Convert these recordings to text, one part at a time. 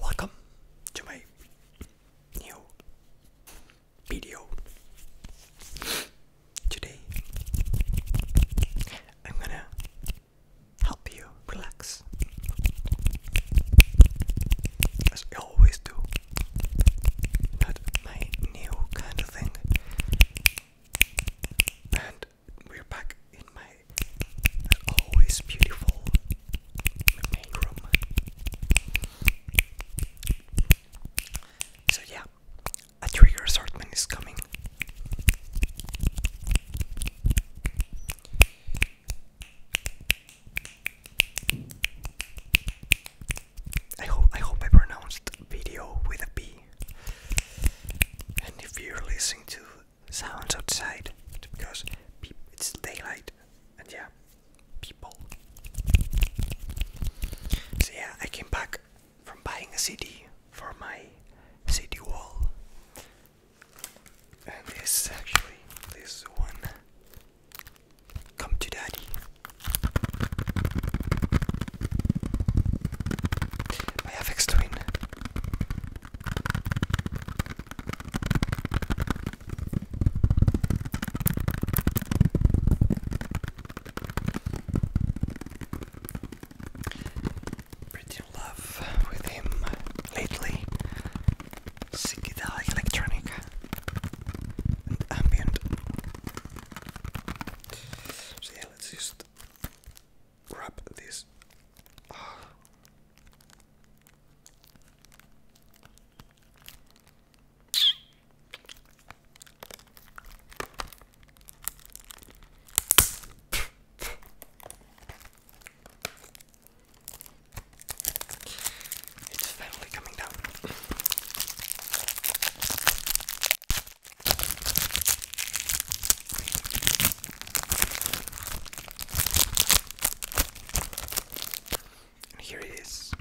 Welcome to my new video. Today, I'm gonna help you relax as I always do. Not my new kind of thing. And we're back in my always beautiful main room. So, yeah, a trigger assortment is coming. I hope I pronounced video with a B. And if you're listening to sounds outside, because it's daylight, and yeah, people. So yeah, I came back from buying a CD for my CD wall, and this actually this one. Come to daddy. My FX Twin. Pretty love with him lately. Sigida electronic ambient let's just wrap this. Ah. It's finally coming down. And here it is.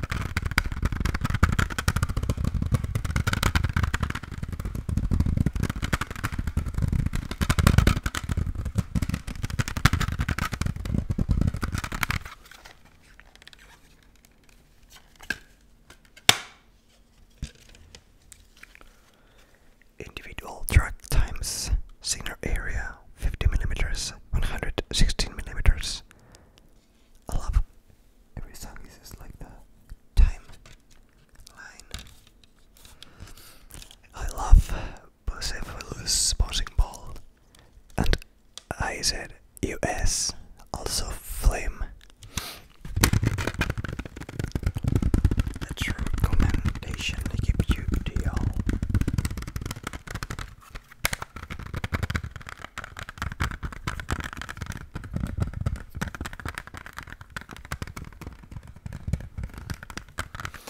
Individual track times signal area 50 millimeters, 116 millimeters. I love every song is like the time I love Perseverus bouncing ball, and I said US, also flame. That's your recommendation to keep you to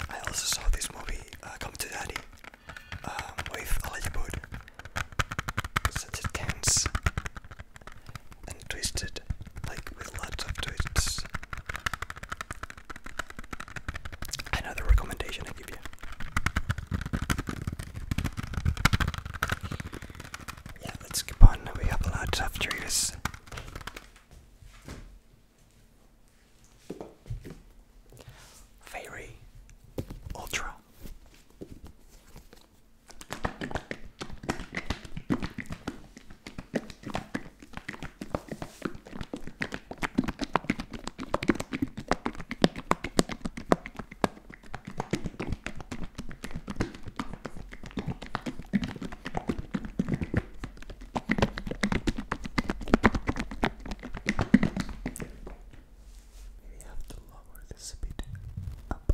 I also saw this movie, uh, Come to Daddy, um, with Elijah Such a tense and twisted, like with lots of twists. Another recommendation I give you. Yeah, let's keep on. We have lots of triggers. Fairy Ultra Maybe I have to lower this a bit up.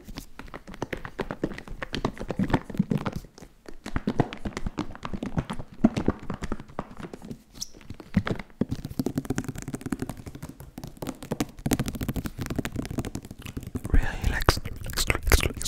Really relax. relax, relax, relax.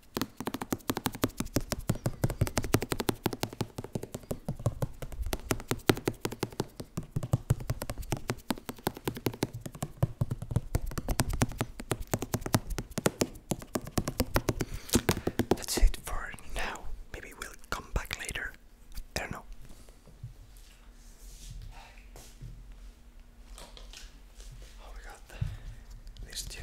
That's it for now. Maybe we'll come back later. I don't know. Oh my god, these two.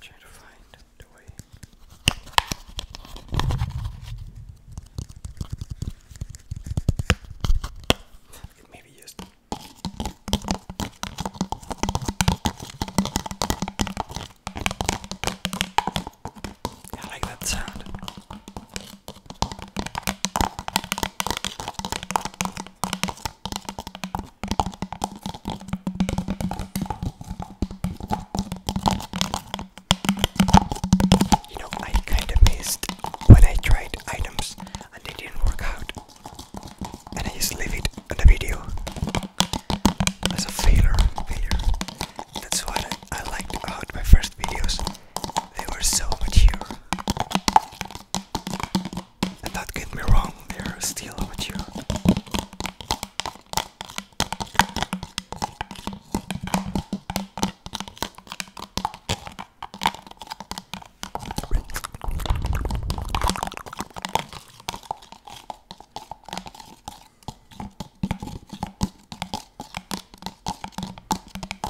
Try to find the way. It may be used. I like that sound. You know, I kinda missed when I tried items and they didn't work out. And I just leave it on the video as a failure. failure. That's why I, I liked about my first videos. They were so mature. And don't get me wrong, they're still mature.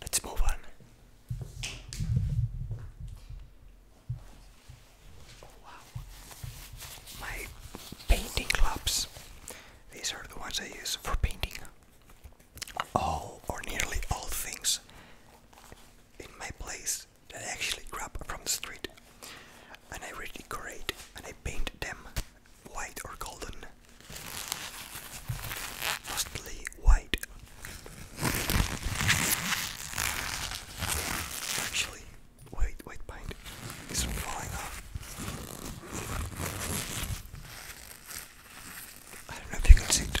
Let's move on. Oh, my painting gloves. These are the ones I use for painting all or nearly all things in my place that I actually grab from the street and I redecorate and I paint them white or golden. Mostly white. Actually, wait, wait, pint is falling off. I don't know if you can see it.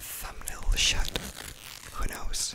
Thumbnail shut. Who knows?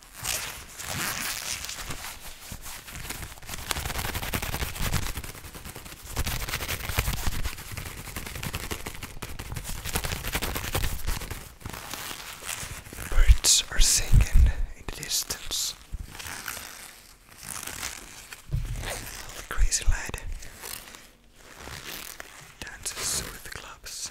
Birds are singing in the distance. The crazy lad dances with the clubs.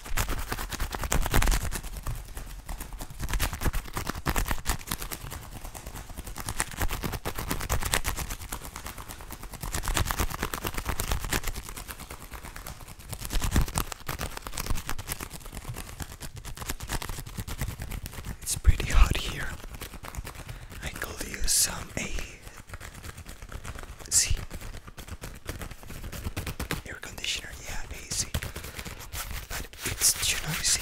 It's pretty hot here. I could use some A air conditioner, yeah, AC, but it's too noisy.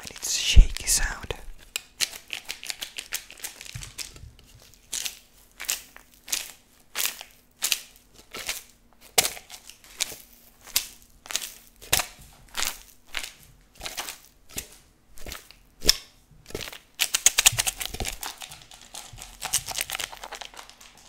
and it's shaky sound.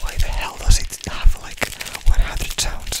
Why the hell does it have like 100 sounds?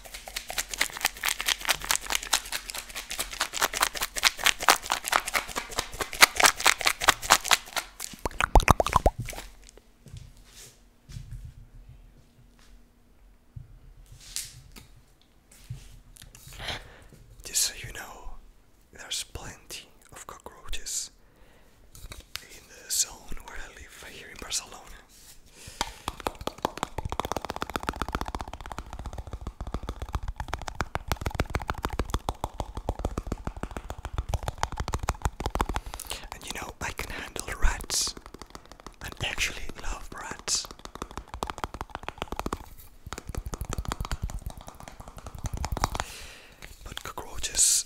Just so you know, there's plenty of cockroaches in the zone where I live here in Barcelona. And you know, I can handle rats and actually love rats. But cockroaches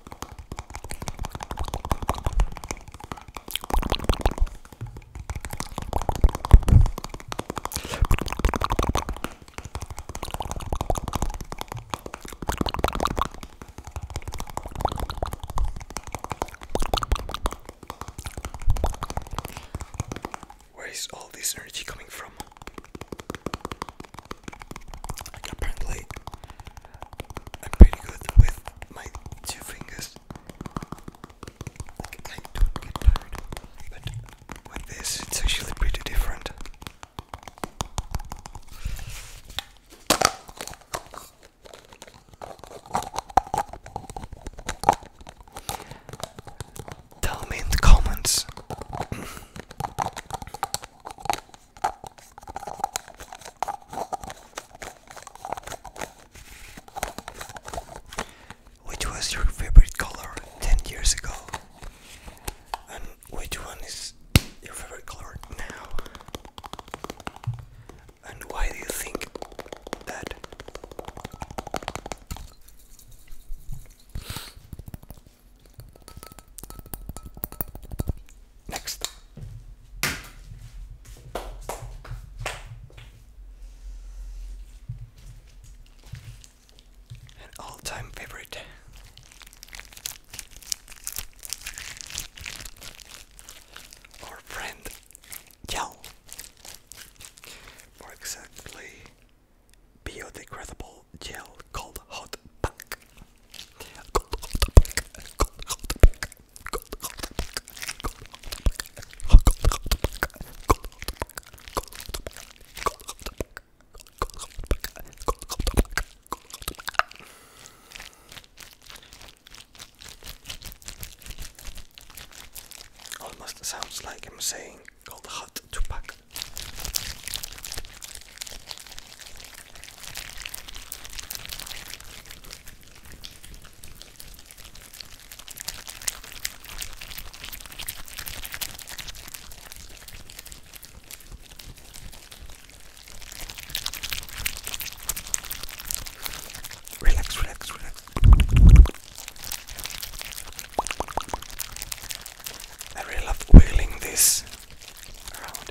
Where is all this energy coming from? apparently I'm pretty good with my two fingers. Like, I don't get tired, but with this, it's actually pretty different. Tell me in the comments which was your favorite color 10 years ago? And which one is your favorite color now? And why do you think that? Next. An all-time favorite. Our friend Gel. More exactly biodegradable gel called hot pack. Almost sounds like I'm saying "cold hot to pack. Relax, relax, relax. I really love wiggling this around.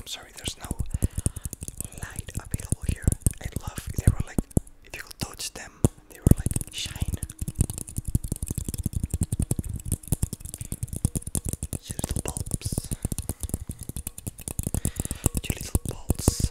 I'm sorry, there's no light available here. I love they were like if you touch them, they were like shine. You little bulbs. You little balls.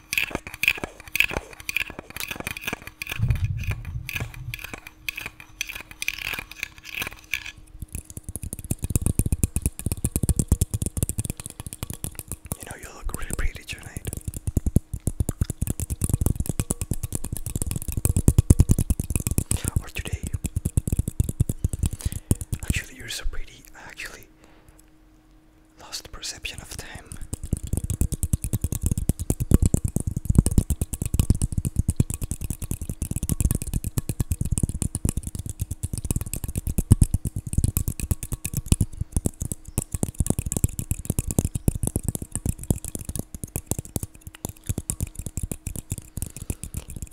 You know, you look really pretty tonight. Or today. Actually, you're so pretty. Actually, Lost perception of time.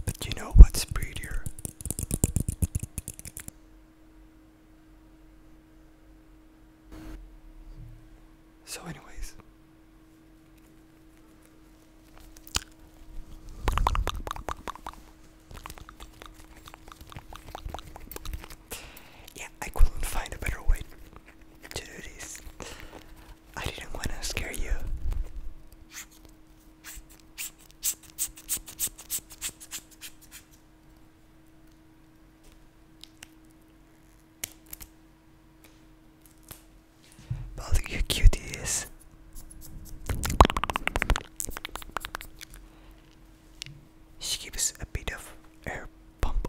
But you know what's prettier? So, anyways, yeah, I couldn't find a better way to do this. I didn't want to scare you how cute it is. She gives a bit of air pump.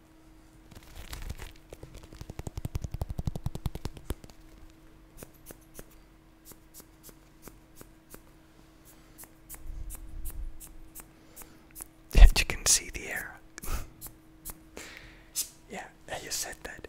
Yeah, you can see the air. yeah, I said that.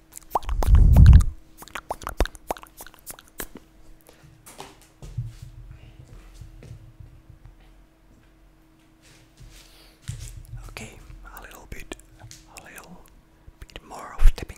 Okay, a little bit, a little bit more of tapping.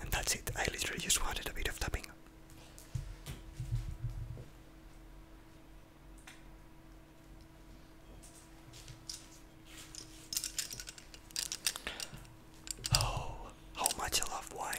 And that's it, I literally just wanted a bit of tapping. Oh, how much I love wine.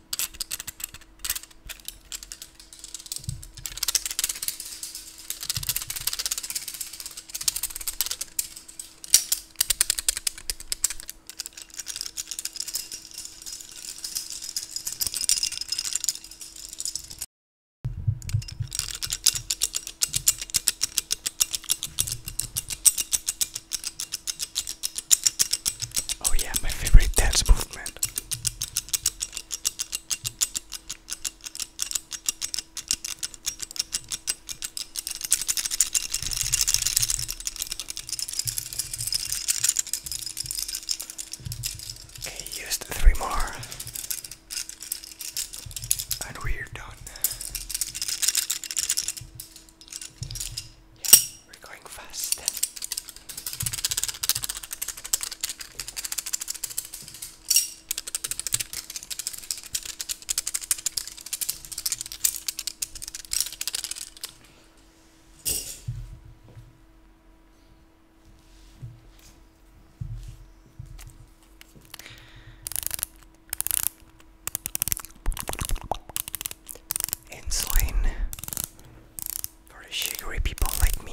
Oh, yeah, my favorite dance movement around. Okay, used three more. And we're done we're going fast. Insulin for the sugary people like me.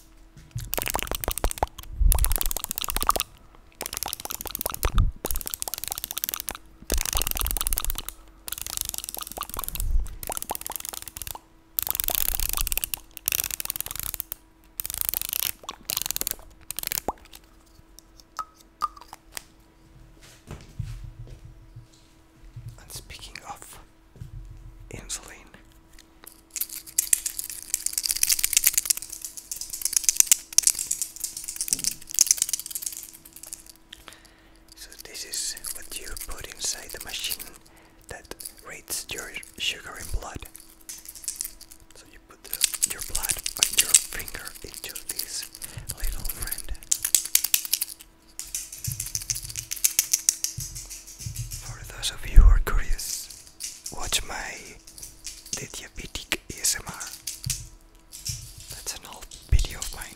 And speaking of insulin, so this is what you put inside the machine that reads your sugar in blood. So you put your blood and your finger into this little friend. For those of you who are curious, watch my diabetic ASMR. That's an old video of mine.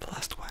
the last one.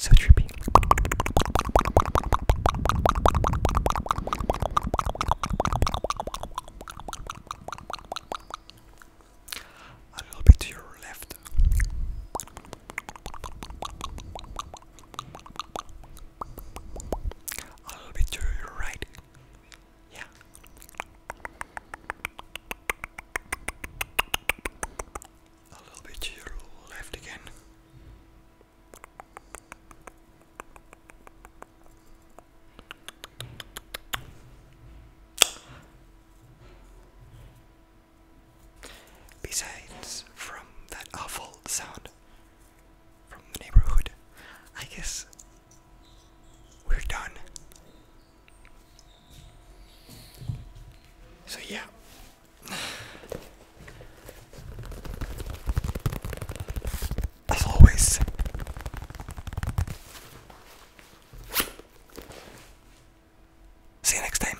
So trippy. A little bit to your left. A little bit to your right. Yeah. A little bit to your left again. Besides from that awful sound from the neighborhood, I guess we're done. So, yeah, as always. See you next time.